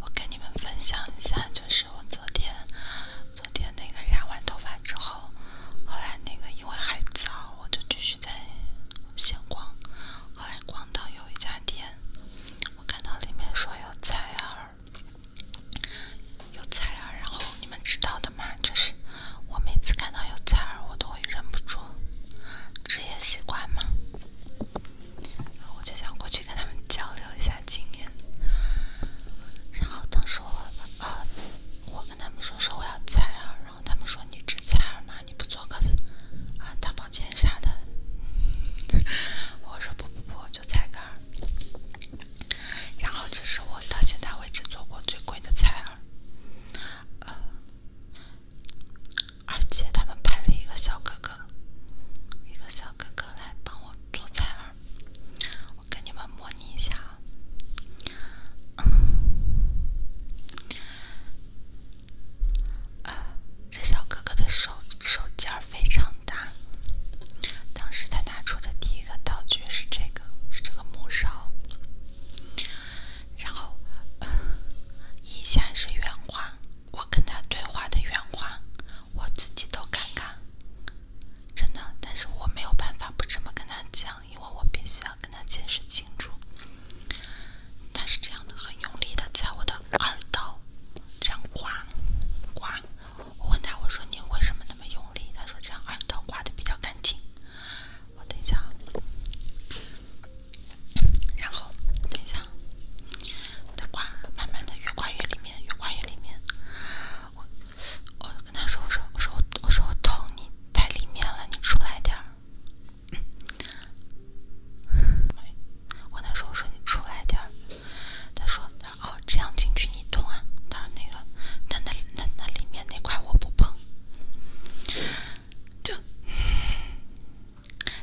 我跟你们分享一下，就是我昨天昨天那个染完头发之后，后来那个因为还早，我就继续在闲逛。后来逛到有一家店，我看到里面说有采儿，有采儿，然后你们知道的嘛，就是我每次看到有采儿，我都会忍不住，职业习惯嘛。我就想过去跟他们交流一下经验，然后当时我呃，我跟他们说说我要采耳’。然后他们说你只采耳吗？你不做个啊大保健啥的？我说不不不，就采个耳。’然后这是我到现在为止做过最贵的采耳。而且他们派了一个小哥哥，一个小哥哥来帮我做菜儿。我给你们模拟一下啊，呃，这小哥哥的手手劲儿非常大。当时他拿出的第一个道具是这个，是这个木勺，然后以下是原话。我跟他对话的原话，我自己都尴尬，真的。但是我没有办法不这么跟他讲，因为我必须要跟他解释清楚。他是这样的，很用力的在我的耳道这样刮，刮。我问他，我说你为什么那么用力？他说这样耳道刮的比较干净。我等一下啊。然后，等一下，他刮，慢慢的越刮越里面，越刮越里面。我，我就跟他说，我说，我说我，说我捅你太里面了，你出来点儿。我跟他说，我说你出来点儿。他说，哦，这样进去你痛啊？他说那个，那那那那里面那块我不碰。就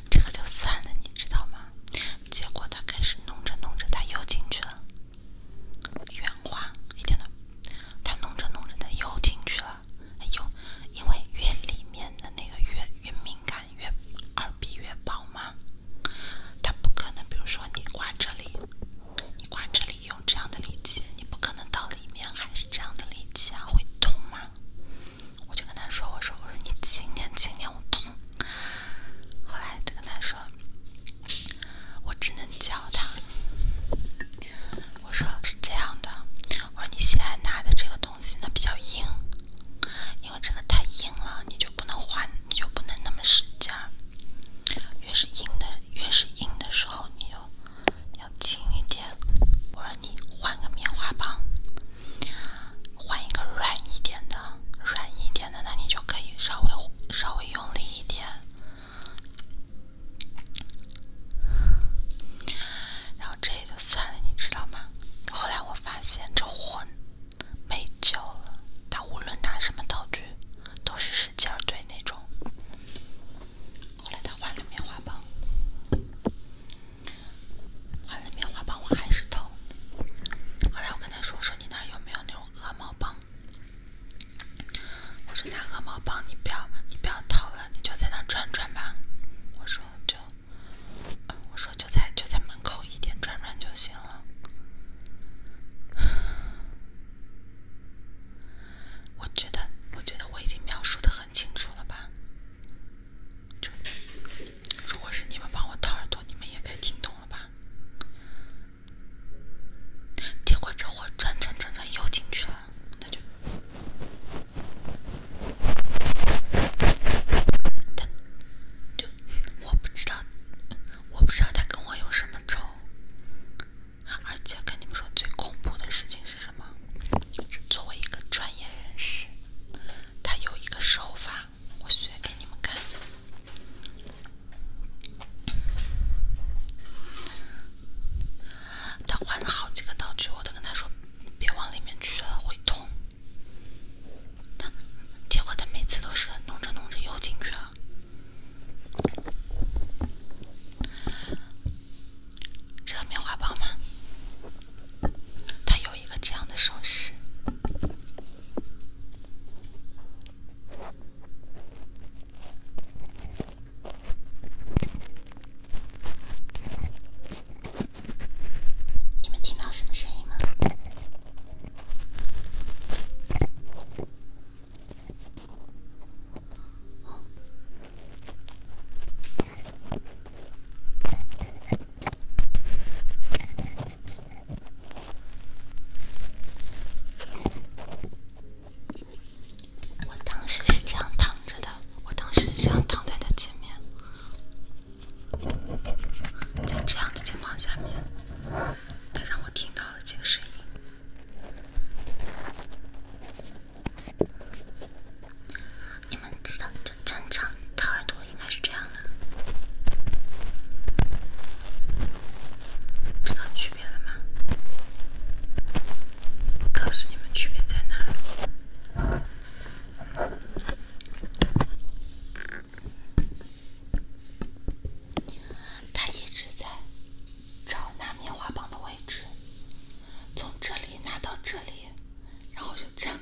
这个就算了，你知道吗？结果他开始弄着弄着，他又进去了。圆滑，你听到？他弄着弄着，他又进去了。又，因为越里面的那个越越敏感，越耳鼻越薄嘛。他不可能，比如说你刮这里，你刮这里用这样的力气，你不可能到里面还是这样的力气啊，会痛吗？我就跟他说：“我说我说你轻点轻点。”我，痛。后来他跟他说：“我只能教他。”我说：“是这样的，我说你现在拿的这个东西呢比较硬，因为这个太硬了，你就不能换，你就不能那么使劲儿。越是硬的，越是硬的时候，你就。”轻一点，我说你换个棉花棒，换一个软一点的，软一点的，那你就可以稍微稍微用力一点。然后这就算了，你知道吗？后来我发现这混没救了，他无论拿什么道具，都是使劲对那种。后来他换了棉花棒，换了棉花棒我还是偷。后来我跟他说：“我说你那有没有那种鹅毛棒？我说那鹅毛棒，你不要，你不要偷了，你就在那转转吧。”我说：“就，我说就在就在门口一点转转就行了。”我觉得，我觉得我已经描述的很清楚了吧？就如果是你们帮我掏耳朵，你们也该听懂了吧？结果这货转转转转又进去了，就，他，就我不知道，我不知道他跟我有什么仇。而且跟你们说最恐怖的事情是什么？作为一个专业人士，他有一个手法，我学给你们看。他换了好几个道具，我都跟他说别往里面去了，会痛。结果他每次都是弄着弄着又进去了。这个棉花棒吗？它有一个这样的手势。你们听到什么声音吗？我当时是这样躺着的，我当时是这样躺在他前面，在这样的情况下面，他让我听到了这个声音。你们知道就正常掏耳朵应该是这样的，知道区别了吗？我告诉你们区别在哪儿。他一直在找拿棉花棒的位置，从这里拿到这里，然后就这样。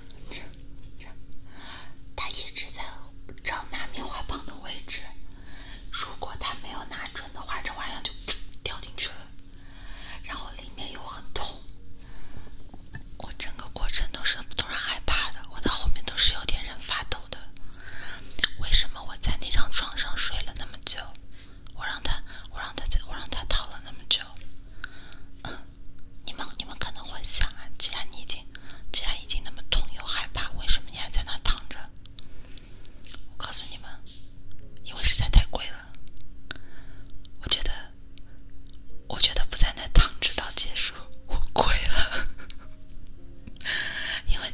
他一直在找拿棉花棒的位置。如果他没有拿准的话，这玩意就 掉进去了，然后里面又很痛。我整个过程都是都是害怕的，我的后面都是有点人发抖。的，为什么我在那张床上睡了那么久？我让他，我让他在，我让他躺了那么久。你们，你们可能会想啊，既然你已经，既然已经那么痛又害怕，为什么你还在那躺着？我告诉你们，因为实在太贵了。我觉得，我觉得不在那躺直到结束，我亏 了。因为，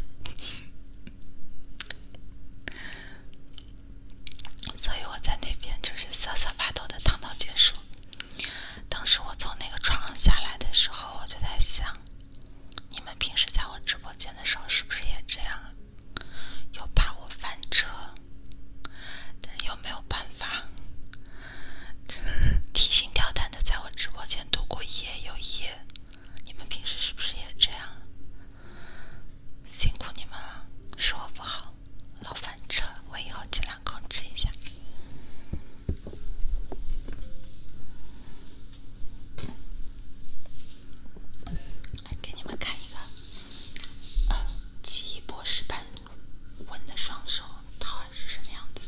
所以我在那边就是瑟瑟发抖的躺到结束。当时我从那个床上下来的时候，我就在想，你们平时在我直播间的时候是不是也这样啊？又怕我翻车，但是又没有办法。提心吊胆的在我直播间度过一夜又一夜，你们平时是不是也这样？辛苦你们了，是我不好，老翻车，我以后尽量控制一下。来给你们看一个，奇异博士般稳的双手，他是什么样子？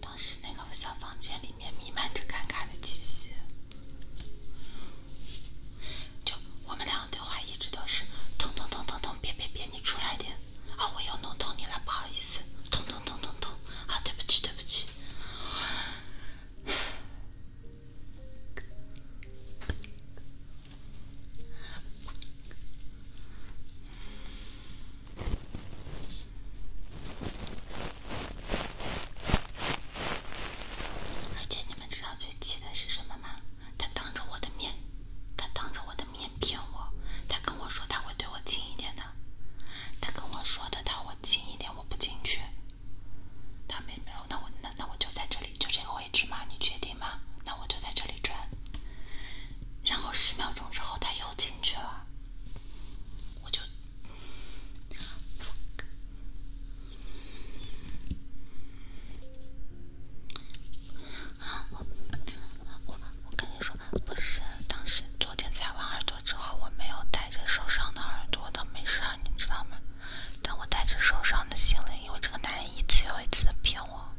当时那个小房间里面弥漫着尴尬的气息，就我们俩。对话一直都是，痛痛痛痛痛，别别别，你出来点。啊，我又弄痛你了，不好意思。痛痛痛痛痛啊，对不起对不起。而且你们知道最气的是什么吗？他当着我的面，他当着我的面骗我，他跟我说他会对我近一点的，他跟我说的，他我近一点我不进去，他没没有，那我那那我就在这里就这个位置吗？你确定吗？那我就在这里转，然后十秒钟之后他又进去了，我就。啊，我我跟你说，不是，当时昨天在完耳朵之后，我没有带着受伤的耳朵的没事，你知道吗？但我带着受伤的心灵，因为这个男人一次又一次的骗我。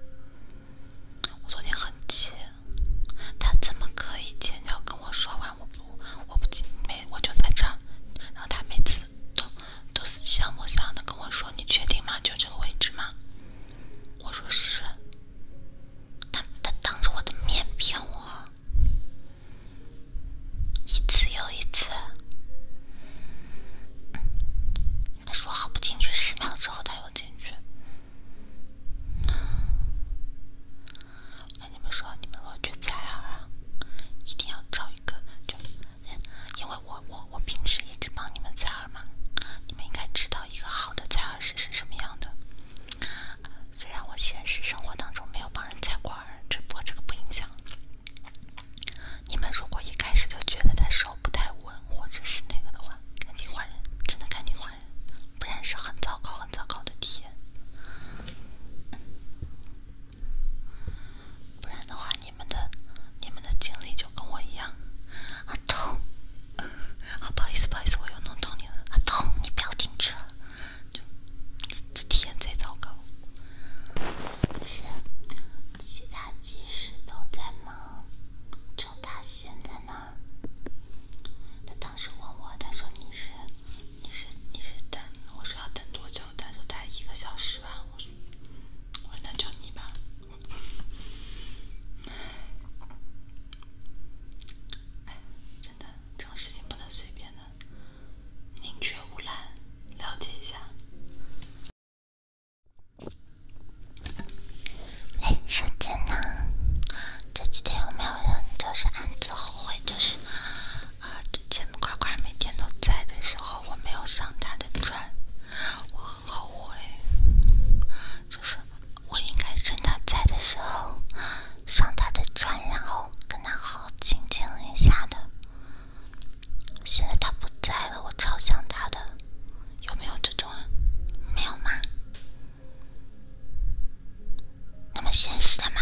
我昨天很气，他怎么可以前脚跟我说完我不我不没我就在这儿，然后他每次。都都是想也不想的跟我说你确定吗？就这个位置吗？我说是。他他当着我的面骗我，一次又一次。他说好不进去，十秒之后他又进去。我你们说，你们如果去崽儿，一定要找一个就。因为我我我平时一直帮你们采耳嘛，你们应该知道一个好的采耳师是什么样的。虽然我现实生活当中没有帮人采过耳，只不过这个不影响。你们如果一开始就觉得他手不太稳或者是那个的话，赶紧换人，真的赶紧换人，不然是很糟糕很糟糕的体验。不然的话，你们的你们的经历就跟我一样，阿童，不好意思，不好意思，我又弄痛你了，阿童，你不要停车，这这体验最糟糕。是，其他技师都在忙，就他现在呢。他当时问我，他说你是。你是你是等我说要等多久？他说待一个小时吧。我说我说那就你吧。哎，真的这种事情不能随便的，宁缺毋滥。了解一下。哎，时间呢？这几天有没有人就是暗自后悔？就是。啊！之前乖乖每天都在的时候，我没有上他的床，我很后悔。就是我应该趁他在的时候上他的床，然后跟他好好亲近一下的。现在他不在了，我超想他的。有没有这种啊？没有吗？那么现实的吗？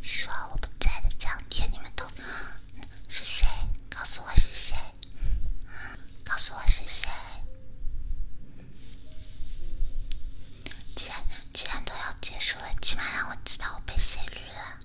说我不在的这两天，你们都是谁？告诉我是谁？告诉我是谁？既然既然都要结束了，起码让我知道我被谁绿了。